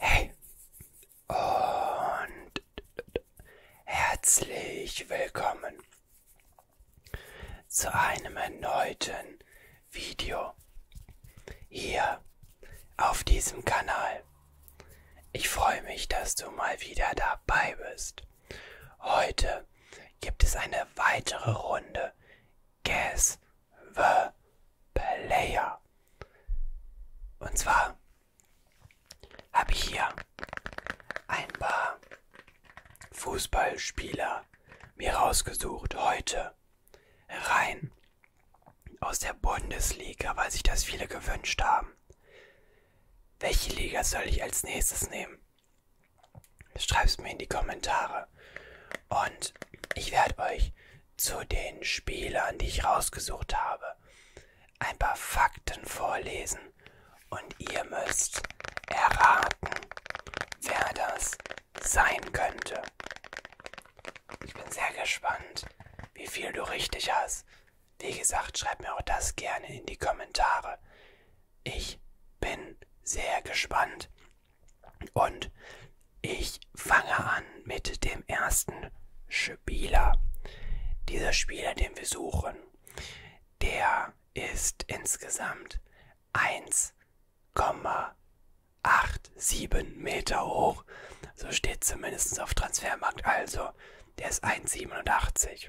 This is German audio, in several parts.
Hey und herzlich willkommen zu einem erneuten Video hier auf diesem Kanal. Ich freue mich, dass du mal wieder dabei bist. Heute gibt es eine weitere Runde Guess the Player. Und zwar habe ich hier ein paar Fußballspieler mir rausgesucht heute rein aus der Bundesliga, weil sich das viele gewünscht haben. Welche Liga soll ich als nächstes nehmen? Schreib's mir in die Kommentare. Und ich werde euch zu den Spielern, die ich rausgesucht habe, ein paar Fakten vorlesen. Und ihr müsst erraten, wer das sein könnte. Ich bin sehr gespannt, wie viel du richtig hast. Wie gesagt, schreib mir auch das gerne in die Kommentare. Ich bin sehr gespannt und ich fange an mit dem ersten Spieler. Dieser Spieler, den wir suchen, der ist insgesamt 1,87 Meter hoch. So steht zumindest auf Transfermarkt. Also, der ist 1,87.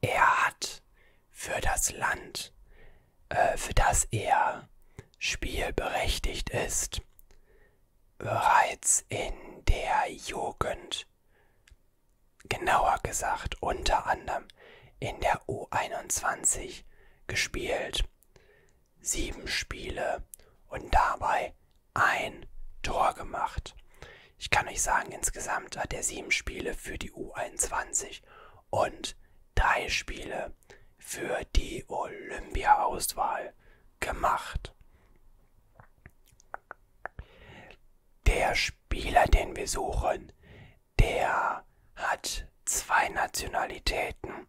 Er hat für das Land, äh, für das er spielberechtigt ist, bereits in der Jugend, genauer gesagt unter anderem in der U21 gespielt. Sieben Spiele und dabei ein Tor gemacht ich kann euch sagen, insgesamt hat er sieben Spiele für die U21 und drei Spiele für die Olympia-Auswahl gemacht. Der Spieler, den wir suchen, der hat zwei Nationalitäten,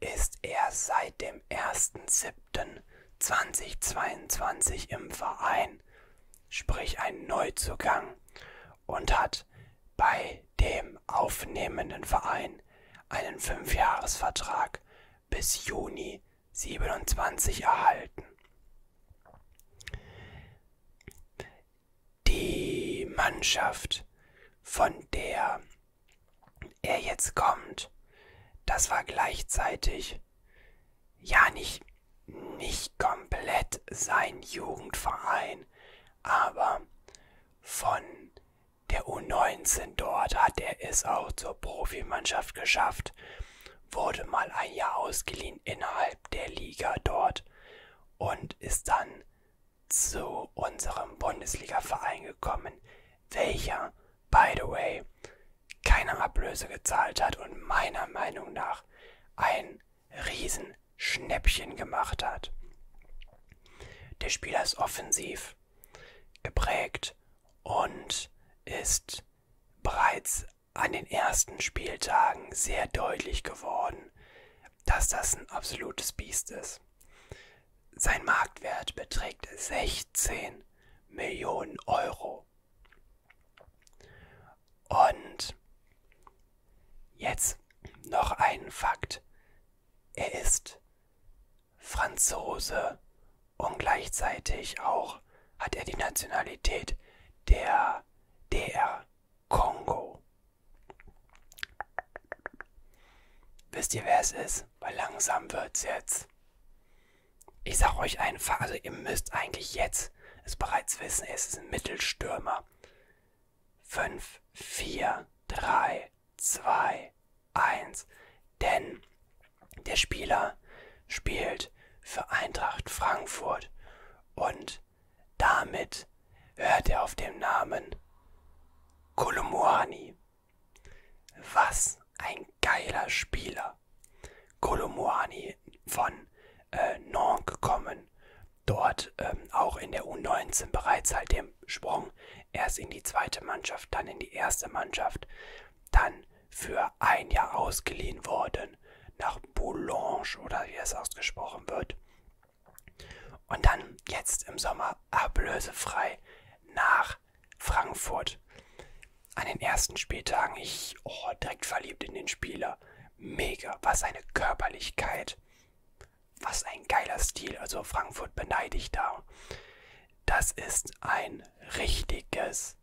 ist erst seit dem 1.7.2022 im Verein sprich ein Neuzugang, und hat bei dem aufnehmenden Verein einen Fünfjahresvertrag bis Juni 27 erhalten. Die Mannschaft, von der er jetzt kommt, das war gleichzeitig ja nicht, nicht komplett sein Jugendverein, aber von der U19 dort hat er es auch zur Profimannschaft geschafft, wurde mal ein Jahr ausgeliehen innerhalb der Liga dort und ist dann zu unserem Bundesliga-Verein gekommen, welcher, by the way, keine Ablöse gezahlt hat und meiner Meinung nach ein Riesenschnäppchen gemacht hat. Der Spieler ist offensiv geprägt und ist bereits an den ersten Spieltagen sehr deutlich geworden, dass das ein absolutes Biest ist. Sein Marktwert beträgt 16 Millionen Euro. Und jetzt noch ein Fakt. Er ist Franzose und gleichzeitig auch hat er die Nationalität der DR Kongo. Wisst ihr, wer es ist? Weil langsam wird's jetzt ich sag euch einfach, also ihr müsst eigentlich jetzt es bereits wissen, es ist ein Mittelstürmer. 5, 4, 3, 2, 1. Denn der Spieler spielt für Eintracht Frankfurt und damit hört er auf dem Namen Kolumuani. Was ein geiler Spieler. Kolomoani von äh, Nantes gekommen. Dort ähm, auch in der U19 bereits halt dem Sprung. Erst in die zweite Mannschaft, dann in die erste Mannschaft. Dann für ein Jahr ausgeliehen worden nach Boulogne oder wie es ausgesprochen wird. Und dann jetzt im Sommer ablösefrei nach Frankfurt an den ersten Spieltagen, ich oh, direkt verliebt in den Spieler. Mega, was eine Körperlichkeit. Was ein geiler Stil. Also Frankfurt beneide ich da. Das ist ein richtiges,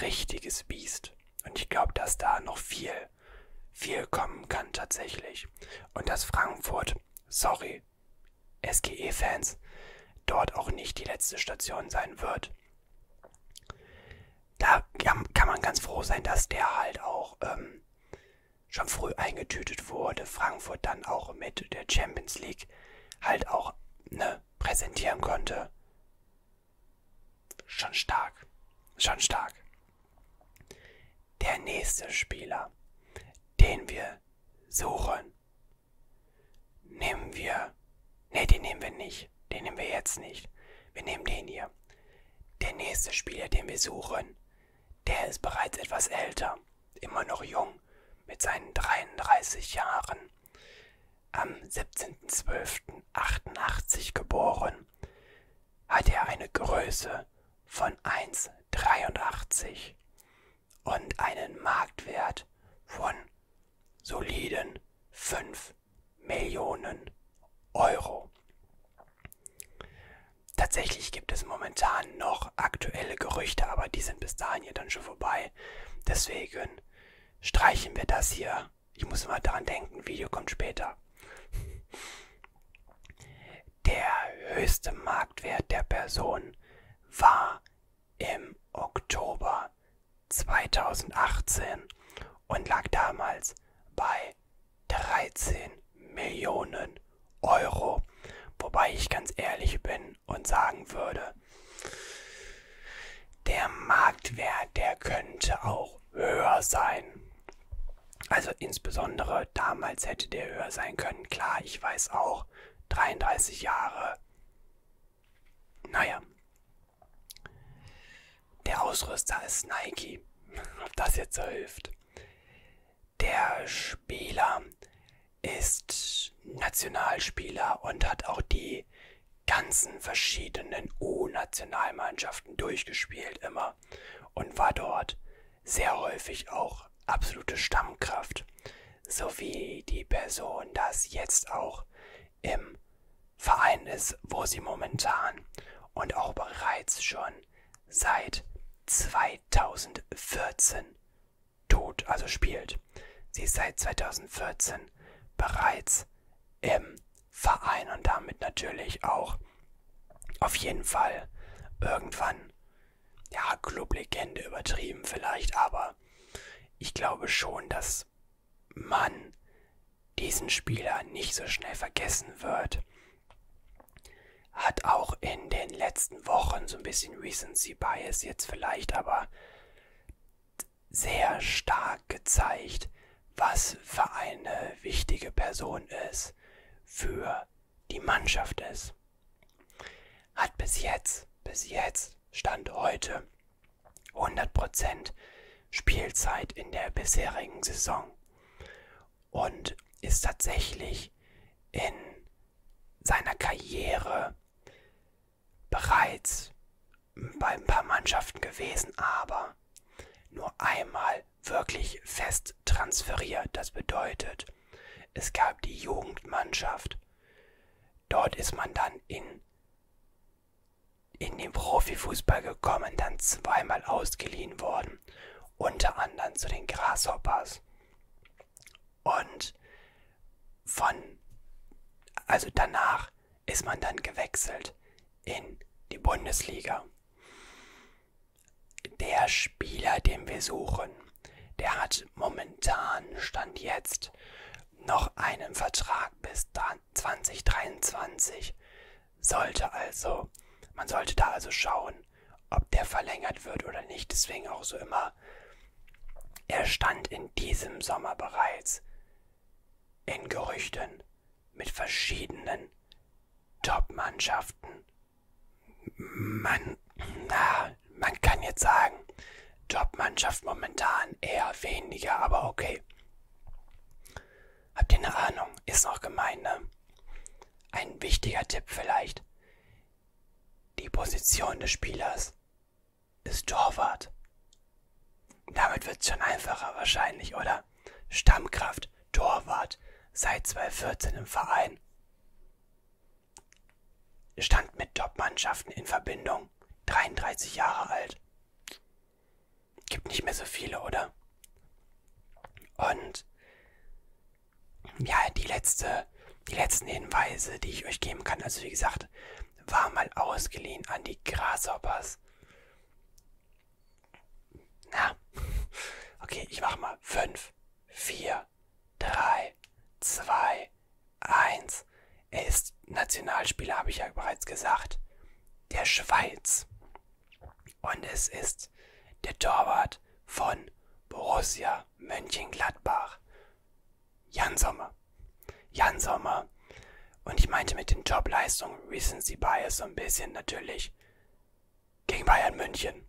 richtiges Biest. Und ich glaube, dass da noch viel, viel kommen kann tatsächlich. Und dass Frankfurt, sorry, SGE-Fans, dort auch nicht die letzte Station sein wird. Und da kann man ganz froh sein, dass der halt auch ähm, schon früh eingetütet wurde. Frankfurt dann auch mit der Champions League halt auch ne, präsentieren konnte. Schon stark. Schon stark. Der nächste Spieler, den wir suchen, nehmen wir hier. Ne, den nehmen wir nicht. Den nehmen wir jetzt nicht. Wir nehmen den hier. Der nächste Spieler, den wir suchen, der ist bereits etwas älter. Immer noch jung. Mit seinen 33 Jahren. Am 17.12.88 geboren. Hat er eine Größe von 1,83 und einen Marktwert von soliden 5 5 Millionen Euro. Tatsächlich gibt es momentan noch aktuelle Gerüchte, aber die sind bis dahin ja dann schon vorbei. Deswegen streichen wir das hier. Ich muss mal daran denken, Video kommt später. Der höchste Marktwert der Person war im Oktober Jahr 2018 und lag damals bei 13 Millionen Euro. Wobei ich ganz ehrlich bin und sagen würde, der Marktwert, der könnte auch höher sein. Also insbesondere damals hätte der höher sein können. Klar, ich weiß auch, 33 Jahre. Naja, der Ausrüster ist Nike. Ob das jetzt so hilft. Der Spieler ist Nationalspieler und hat auch die ganzen verschiedenen U-Nationalmannschaften durchgespielt immer und war dort sehr häufig auch absolute Stammkraft, so wie die Person das jetzt auch im Verein ist, wo sie momentan und auch bereits schon seit 2014 tot, also spielt. Sie ist seit 2014 bereits im Verein und damit natürlich auch auf jeden Fall irgendwann, ja, Clublegende übertrieben vielleicht, aber ich glaube schon, dass man diesen Spieler nicht so schnell vergessen wird. Hat auch in den letzten Wochen so ein bisschen Recency Bias jetzt vielleicht, aber sehr stark gezeigt, was für eine wichtige Person es für die Mannschaft ist. Hat bis jetzt, bis jetzt, Stand heute, 100% Spielzeit in der bisherigen Saison und ist tatsächlich in seiner Karriere bereits bei ein paar Mannschaften gewesen, aber nur einmal wirklich fest transferiert. Das bedeutet, es gab die Jugendmannschaft. Dort ist man dann in in den Profifußball gekommen, dann zweimal ausgeliehen worden, unter anderem zu den Grasshoppers. Und von, also danach ist man dann gewechselt in die Bundesliga. Der Spieler, den wir suchen, der hat momentan, stand jetzt, noch einen Vertrag bis 2023 sollte also, man sollte da also schauen, ob der verlängert wird oder nicht. Deswegen auch so immer, er stand in diesem Sommer bereits in Gerüchten mit verschiedenen Top-Mannschaften. Man, na, man kann jetzt sagen, Top-Mannschaft momentan eher weniger, aber okay. Habt ihr eine Ahnung? Ist noch gemein, ne? Ein wichtiger Tipp vielleicht. Die Position des Spielers ist Torwart. Damit wird's schon einfacher wahrscheinlich, oder? Stammkraft, Torwart, seit 2014 im Verein. Stand mit Top-Mannschaften in Verbindung, 33 Jahre alt. Gibt nicht mehr so viele, oder? Und ja, die letzte, die letzten Hinweise, die ich euch geben kann, also wie gesagt, war mal ausgeliehen an die Grasshoppers. Na, okay, ich mach mal 5, 4, 3, 2, 1. Er ist Nationalspieler, habe ich ja bereits gesagt. Der Schweiz. Und es ist der Torwart von Borussia Mönchengladbach, Jan Sommer. Jan Sommer. Und ich meinte mit den Jobleistungen Recency Bias so ein bisschen natürlich gegen Bayern München.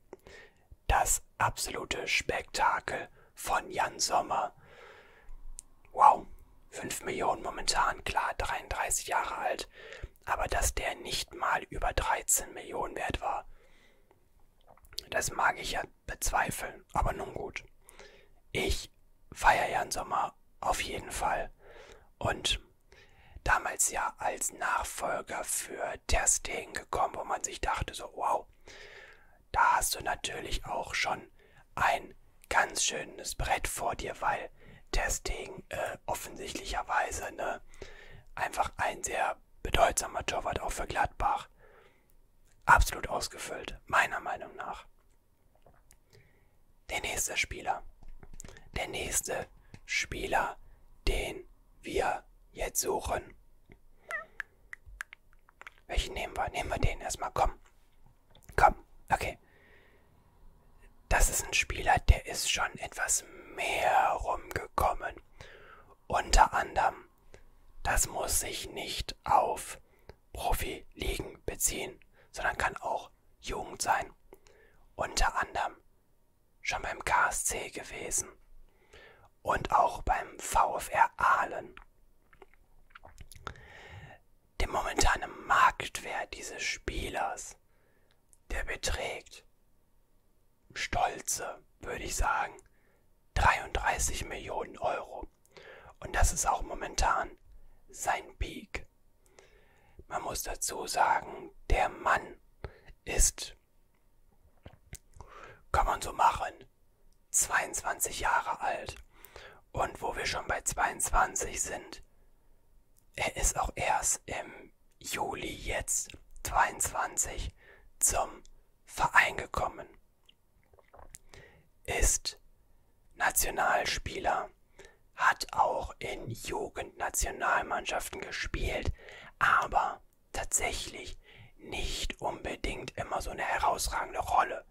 Das absolute Spektakel von Jan Sommer. Wow, 5 Millionen momentan, klar, 33 Jahre alt, aber dass der nicht mal über 13 Millionen wert war, das mag ich ja bezweifeln, aber nun gut. Ich feiere Jan Sommer auf jeden Fall und damals ja als Nachfolger für Ter Stegen gekommen, wo man sich dachte so, wow, da hast du natürlich auch schon ein ganz schönes Brett vor dir, weil Testing äh, offensichtlicherweise ne, einfach ein sehr bedeutsamer Torwart auch für Gladbach. Absolut ausgefüllt, meiner Meinung nach. Der nächste Spieler. Der nächste Spieler, den wir jetzt suchen. Welchen nehmen wir? Nehmen wir den erstmal, komm. Komm, okay. Das ist ein Spieler, der ist schon etwas mehr rumgekommen. Unter anderem, das muss sich nicht auf Profi-Ligen beziehen, sondern kann auch Jugend sein. Unter anderem schon beim KSC gewesen und auch beim VfR Aalen dem momentanen Marktwert dieses Spielers, der beträgt stolze, würde ich sagen, 33 Millionen Euro. Und das ist auch momentan sein Peak. Man muss dazu sagen, der Mann ist, kann man so machen, 22 Jahre alt. Und wo wir schon bei 22 sind, er ist auch erst im Juli jetzt 22 zum Verein gekommen. Ist Nationalspieler, hat auch in Jugendnationalmannschaften gespielt, aber tatsächlich nicht unbedingt immer so eine herausragende Rolle.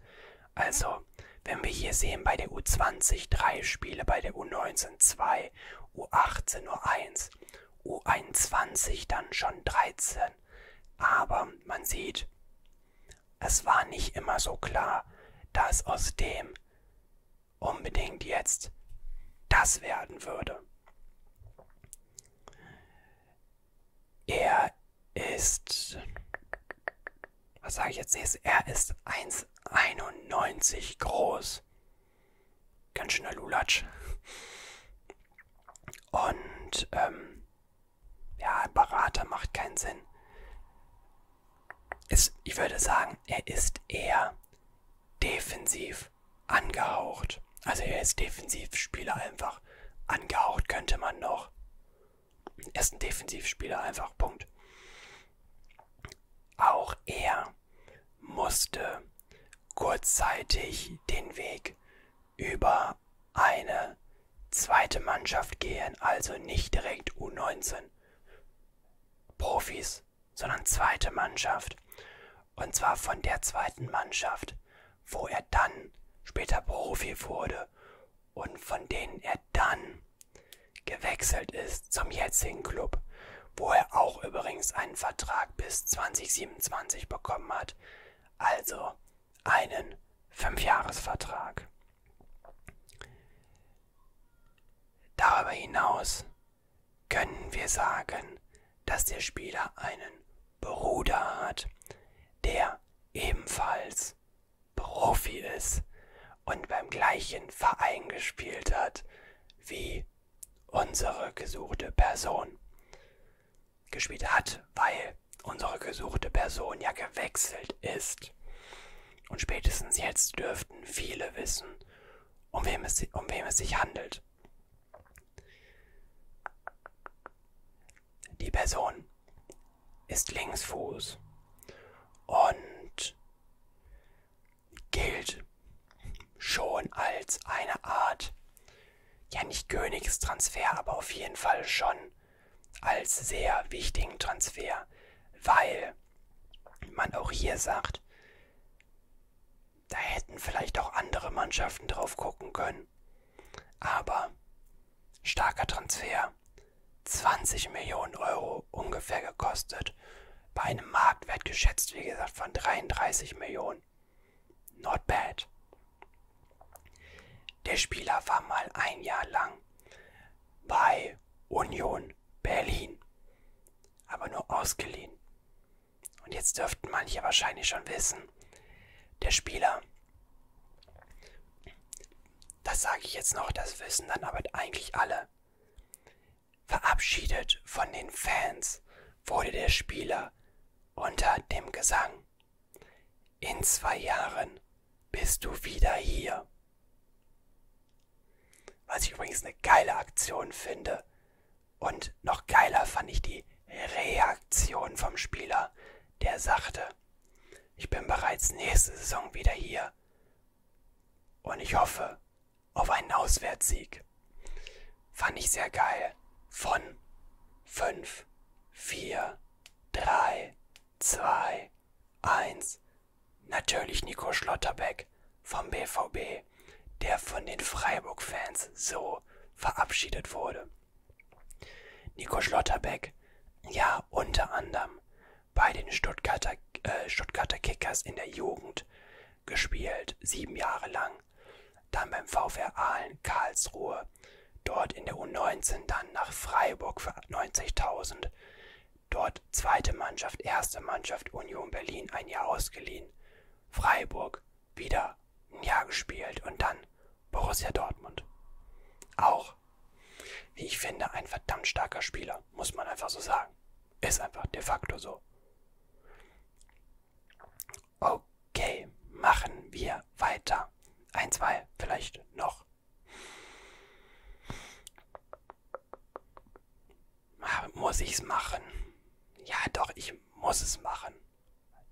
Also Jahr. Wenn wir hier sehen, bei der U20 drei Spiele, bei der U19 zwei, U18 nur eins, U21 dann schon 13. Aber man sieht, es war nicht immer so klar, dass aus dem unbedingt jetzt das werden würde. Er ist was sage ich jetzt? Er ist 1,91 groß. Ganz schöner Lulatsch. Und ähm, ja, ein Berater macht keinen Sinn. Es, ich würde sagen, er ist eher defensiv angehaucht. Also er ist Defensivspieler einfach. Angehaucht könnte man noch. Er ist ein Defensivspieler einfach. Punkt. Auch er musste kurzzeitig den Weg über eine zweite Mannschaft gehen, also nicht direkt U19 Profis, sondern zweite Mannschaft. Und zwar von der zweiten Mannschaft, wo er dann später Profi wurde und von denen er dann gewechselt ist zum jetzigen Club, wo er auch übrigens einen Vertrag bis 2027 bekommen hat, also einen Fünfjahresvertrag. Darüber hinaus können wir sagen, dass der Spieler einen Bruder hat, der ebenfalls Profi ist und beim gleichen Verein gespielt hat wie unsere gesuchte Person. Gespielt hat, weil unsere gesuchte Person ja gewechselt ist. Und spätestens jetzt dürften viele wissen, um wem es, um wem es sich handelt. Die Person ist Linksfuß und gilt schon als eine Art, ja nicht Königstransfer, aber auf jeden Fall schon als sehr wichtigen Transfer, weil man auch hier sagt, da hätten vielleicht auch andere Mannschaften drauf gucken können. Aber starker Transfer 20 Millionen Euro ungefähr gekostet. Bei einem Marktwert geschätzt, wie gesagt, von 33 Millionen. Not bad. Der Spieler war mal ein Jahr lang bei Union Berlin, aber nur ausgeliehen. Und jetzt dürften manche wahrscheinlich schon wissen, der Spieler, das sage ich jetzt noch, das wissen dann aber eigentlich alle, Verabschiedet von den Fans wurde der Spieler unter dem Gesang. In zwei Jahren bist du wieder hier. Was ich übrigens eine geile Aktion finde. Und noch geiler fand ich die Reaktion vom Spieler, der sagte, ich bin bereits nächste Saison wieder hier. Und ich hoffe, auf einen Auswärtssieg. Fand ich sehr geil. Von 5, 4, 3, 2, 1. Natürlich Nico Schlotterbeck vom BVB, der von den Freiburg-Fans so verabschiedet wurde. Nico Schlotterbeck, ja unter anderem bei den Stuttgarter, äh, Stuttgarter Kickers in der Jugend gespielt, sieben Jahre lang. Dann beim VfR Aalen Karlsruhe, dort in der U19, dann nach Freiburg für 90.000. Dort zweite Mannschaft, erste Mannschaft Union Berlin ein Jahr ausgeliehen. Freiburg wieder ein Jahr gespielt und dann Borussia Dortmund. Auch, wie ich finde, ein verdammt starker Spieler, muss man einfach so sagen. Ist einfach de facto so. Okay, machen wir weiter. Ein, zwei, vielleicht noch. Ah, muss ich's machen? Ja, doch, ich muss es machen.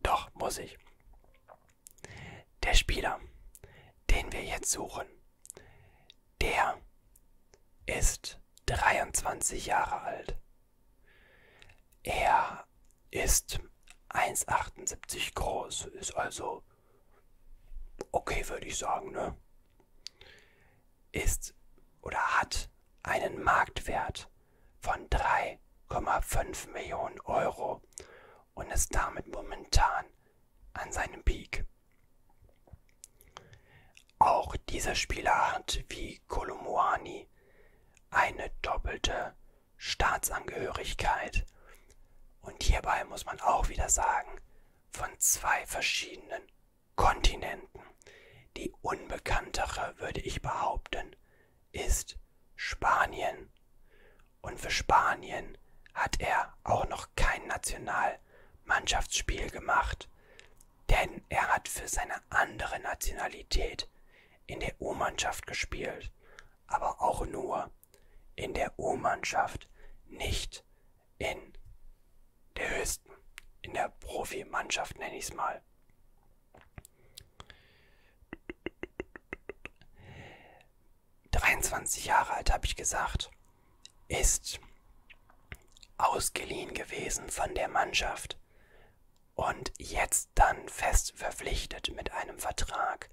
Doch, muss ich. Der Spieler, den wir jetzt suchen, der ist 23 Jahre alt. Er ist 1,78 groß, ist also okay, würde ich sagen, ne? Ist oder hat einen Marktwert von 3,5 Millionen Euro und ist damit momentan an seinem Peak. Auch dieser Spieler hat wie Kolomoani eine doppelte Staatsangehörigkeit. Und hierbei muss man auch wieder sagen, von zwei verschiedenen Kontinenten. Die unbekanntere, würde ich behaupten, ist Spanien. Und für Spanien hat er auch noch kein Nationalmannschaftsspiel gemacht denn er hat für seine andere Nationalität in der U-Mannschaft gespielt, aber auch nur in der U-Mannschaft, nicht in der höchsten, in der Profimannschaft nenne ich es mal. »23 Jahre alt«, habe ich gesagt ist ausgeliehen gewesen von der Mannschaft und jetzt dann fest verpflichtet mit einem Vertrag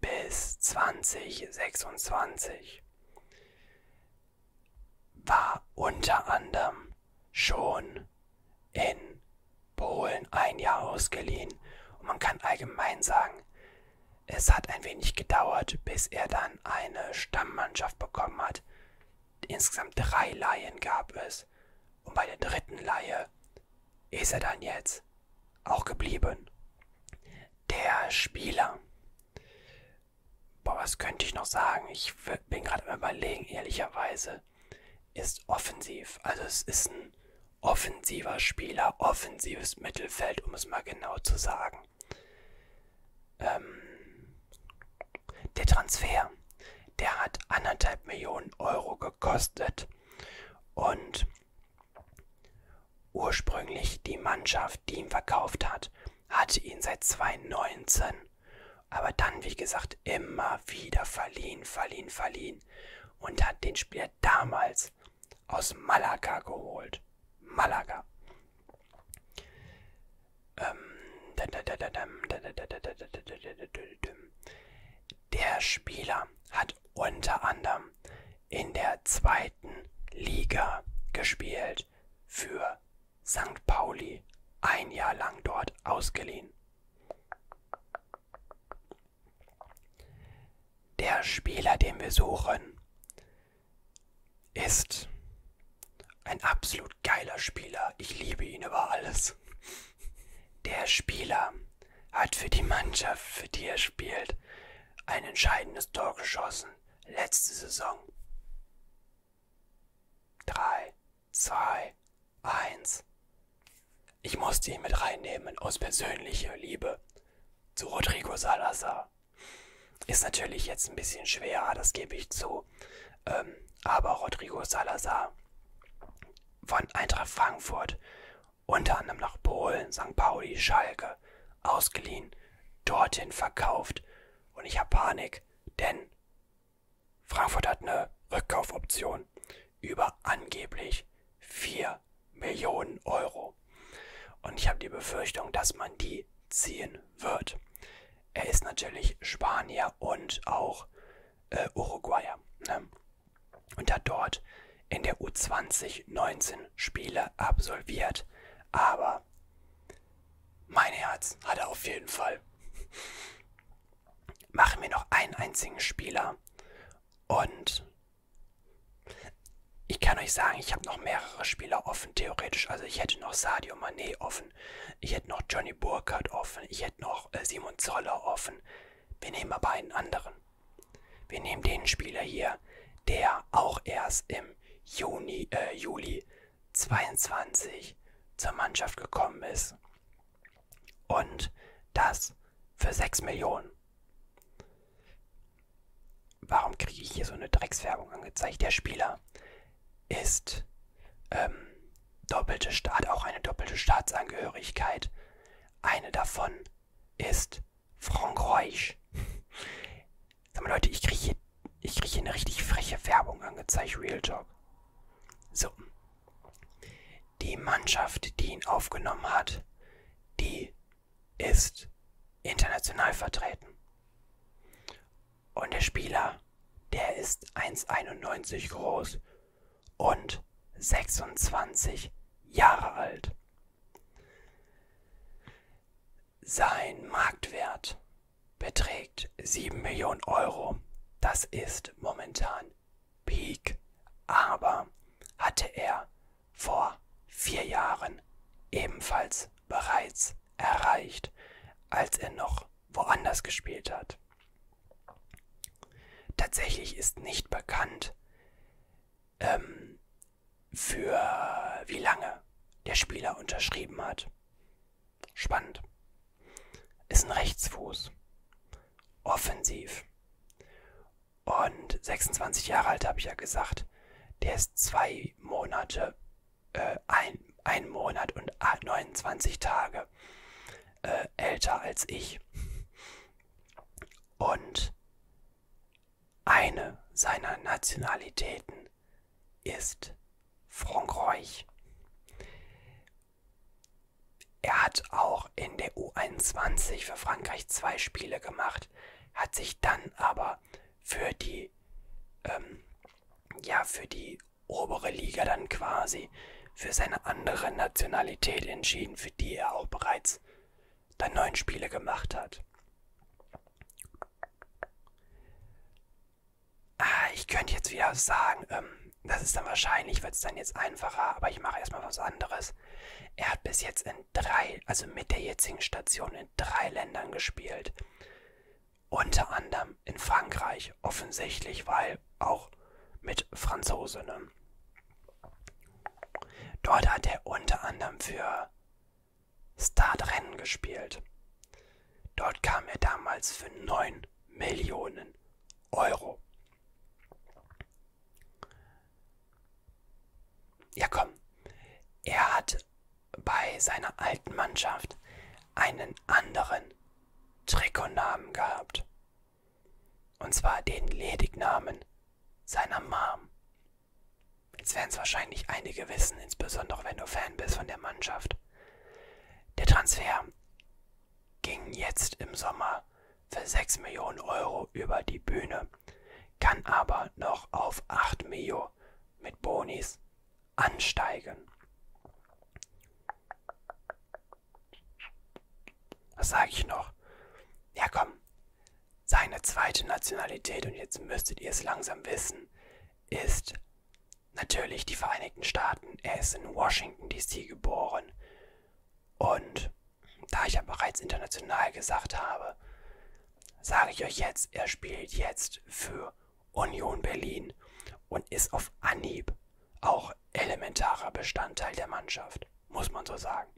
bis 2026. War unter anderem schon in Polen ein Jahr ausgeliehen und man kann allgemein sagen, es hat ein wenig gedauert, bis er dann eine Stammmannschaft bekommen hat hat. Insgesamt drei Laien gab es. Und bei der dritten Laie ist er dann jetzt auch geblieben. Der Spieler. Boah, was könnte ich noch sagen? Ich bin gerade am Überlegen, ehrlicherweise. Ist offensiv. Also, es ist ein offensiver Spieler, offensives Mittelfeld, um es mal genau zu sagen ähm, der Transfer, der hat anderthalb Millionen Euro gekostet und ursprünglich die Mannschaft, die ihn verkauft hat, hatte ihn seit 2019, aber dann, wie gesagt, immer wieder verliehen, verliehen, verliehen und hat den Spieler damals aus Malaga geholt. Malaga. Der Spieler hat unter anderem in der zweiten Liga gespielt, für St. Pauli ein Jahr lang dort ausgeliehen. Der Spieler, den wir suchen, ist ein absolut geiler Spieler. Ich liebe ihn über alles. Der Spieler hat für die Mannschaft, für die er spielt, ein entscheidendes Tor geschossen. Letzte Saison. 3, 2, 1. Ich musste ihn mit reinnehmen aus persönlicher Liebe zu Rodrigo Salazar ja, ist natürlich jetzt ein bisschen schwer, das gebe ich zu. Ähm, aber Rodrigo Salazar von Eintracht Frankfurt, unter anderem nach Polen, St. Pauli, Schalke, ausgeliehen, dorthin verkauft. Und ich habe Panik, denn Frankfurt hat eine Rückkaufoption über angeblich 4 Millionen Euro. Und ich habe die Befürchtung, dass man die ziehen wird. Er ist natürlich Spanier und auch äh, Uruguayer. Ne? Und hat dort in der U20 19 Spiele absolviert. Aber mein Herz hat er auf jeden Fall. Machen wir noch einen einzigen Spieler. Und ich kann euch sagen, ich habe noch mehrere Spieler offen, theoretisch. Also ich hätte noch Sadio Mané offen offen. Ich hätte noch Johnny Burkhardt offen. Ich hätte noch äh, Simon Zoller offen. Wir nehmen aber einen anderen. Wir nehmen den Spieler hier, der auch erst im Juni, äh, Juli 22 zur Mannschaft gekommen ist. Und das für 6 Millionen. Warum kriege ich hier so eine Dreckswerbung angezeigt? Der Spieler ist ähm, doppelte Staat, auch eine doppelte Staatsangehörigkeit. Eine davon ist Frankreich. Sag mal, Leute, ich kriege hier, ich krieg hier eine richtig freche Werbung angezeigt, Real Talk. So. Die Mannschaft, die ihn aufgenommen hat, die ist international vertreten. Und der Spieler, der ist 1,91 groß und 26 Jahre alt. Sein Marktwert beträgt 7 Millionen Euro. Das ist momentan Peak. Aber hatte er vor vier Jahren ebenfalls bereits erreicht, als er noch woanders gespielt hat. Tatsächlich ist nicht bekannt, ähm, für wie lange der Spieler unterschrieben hat. Spannend. Ist ein Rechtsfuß. Offensiv. Und 26 Jahre alt habe ich ja gesagt. Der ist zwei Monate äh, ein, ein Monat und 29 Tage äh, älter als ich. Und eine seiner Nationalitäten ist Frankreich. Er hat auch in der U21 für Frankreich zwei Spiele gemacht, hat sich dann aber für die ähm, ja für die obere Liga dann quasi für seine andere Nationalität entschieden, für die er auch bereits dann neun Spiele gemacht hat. Ah, ich könnte jetzt wieder sagen, ähm, das ist dann wahrscheinlich, wird es dann jetzt einfacher, aber ich mache erstmal was anderes. Er hat bis jetzt in drei, also mit der jetzigen Station in drei Ländern gespielt. Unter anderem in Frankreich, offensichtlich, weil auch mit Franzosen. Ne? Dort hat er unter anderem für Startrennen gespielt. Dort kam er damals für 9 Millionen Euro. Ja komm, er hat bei seiner alten Mannschaft einen anderen Trikotnamen gehabt. Und zwar den Ledignamen seiner Mom. Jetzt werden es wahrscheinlich einige wissen, insbesondere wenn du Fan bist von der Mannschaft. Der Transfer ging jetzt im Sommer für 6 Millionen Euro über die Bühne, kann aber noch auf 8 Mio mit Bonis ansteigen. Was sage ich noch? Ja, komm. Seine zweite Nationalität, und jetzt müsstet ihr es langsam wissen, ist natürlich die Vereinigten Staaten. Er ist in Washington, D.C. geboren. Und da ich ja bereits international gesagt habe, sage ich euch jetzt, er spielt jetzt für Union Berlin und ist auf Anhieb auch elementarer Bestandteil der Mannschaft, muss man so sagen.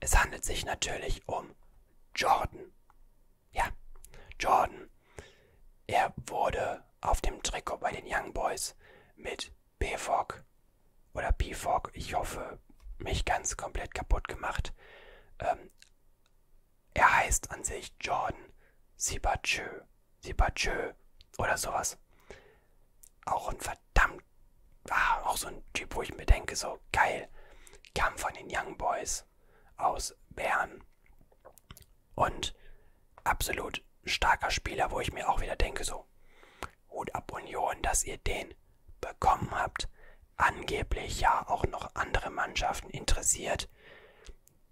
Es handelt sich natürlich um Jordan. Ja, Jordan. Er wurde auf dem Trikot bei den Young Boys mit BFOG oder BFOG, ich hoffe, mich ganz komplett kaputt gemacht. Ähm, er heißt an sich Jordan Sibachö, Sibachö oder sowas. Auch ein verdammt, ah, auch so ein Typ, wo ich mir denke, so geil, kam von den Young Boys aus Bern. Und absolut starker Spieler, wo ich mir auch wieder denke, so Hut ab Union, dass ihr den bekommen habt. Angeblich ja auch noch andere Mannschaften interessiert.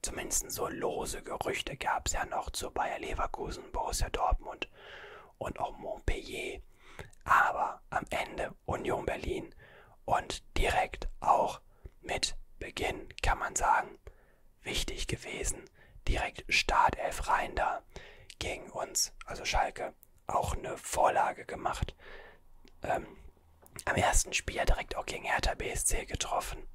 Zumindest so lose Gerüchte gab es ja noch zu Bayer Leverkusen, Borussia Dortmund und auch Montpellier. Aber am Ende Union Berlin und direkt auch mit Beginn, kann man sagen, wichtig gewesen. Direkt Startelf rein da gegen uns, also Schalke ja auch eine Vorlage gemacht. Ähm, am ersten Spiel ja direkt auch gegen Hertha BSC getroffen.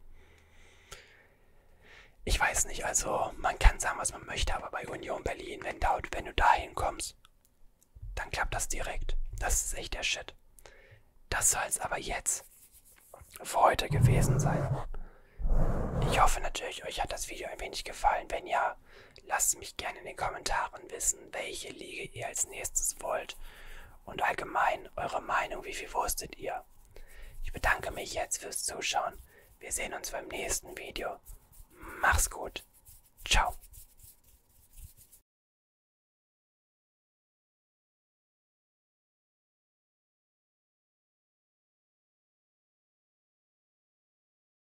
Ich weiß nicht, also man kann sagen, was man möchte, aber bei Union Berlin, wenn, da, wenn du da hinkommst, dann klappt das direkt. Das ist echt der Shit. Das soll es aber jetzt für heute gewesen sein. Ich hoffe natürlich, euch hat das Video ein wenig gefallen. Wenn ja, Lasst mich gerne in den Kommentaren wissen, welche Liege ihr als nächstes wollt und allgemein eure Meinung, wie viel wusstet ihr. Ich bedanke mich jetzt fürs Zuschauen. Wir sehen uns beim nächsten Video. Mach's gut. Ciao.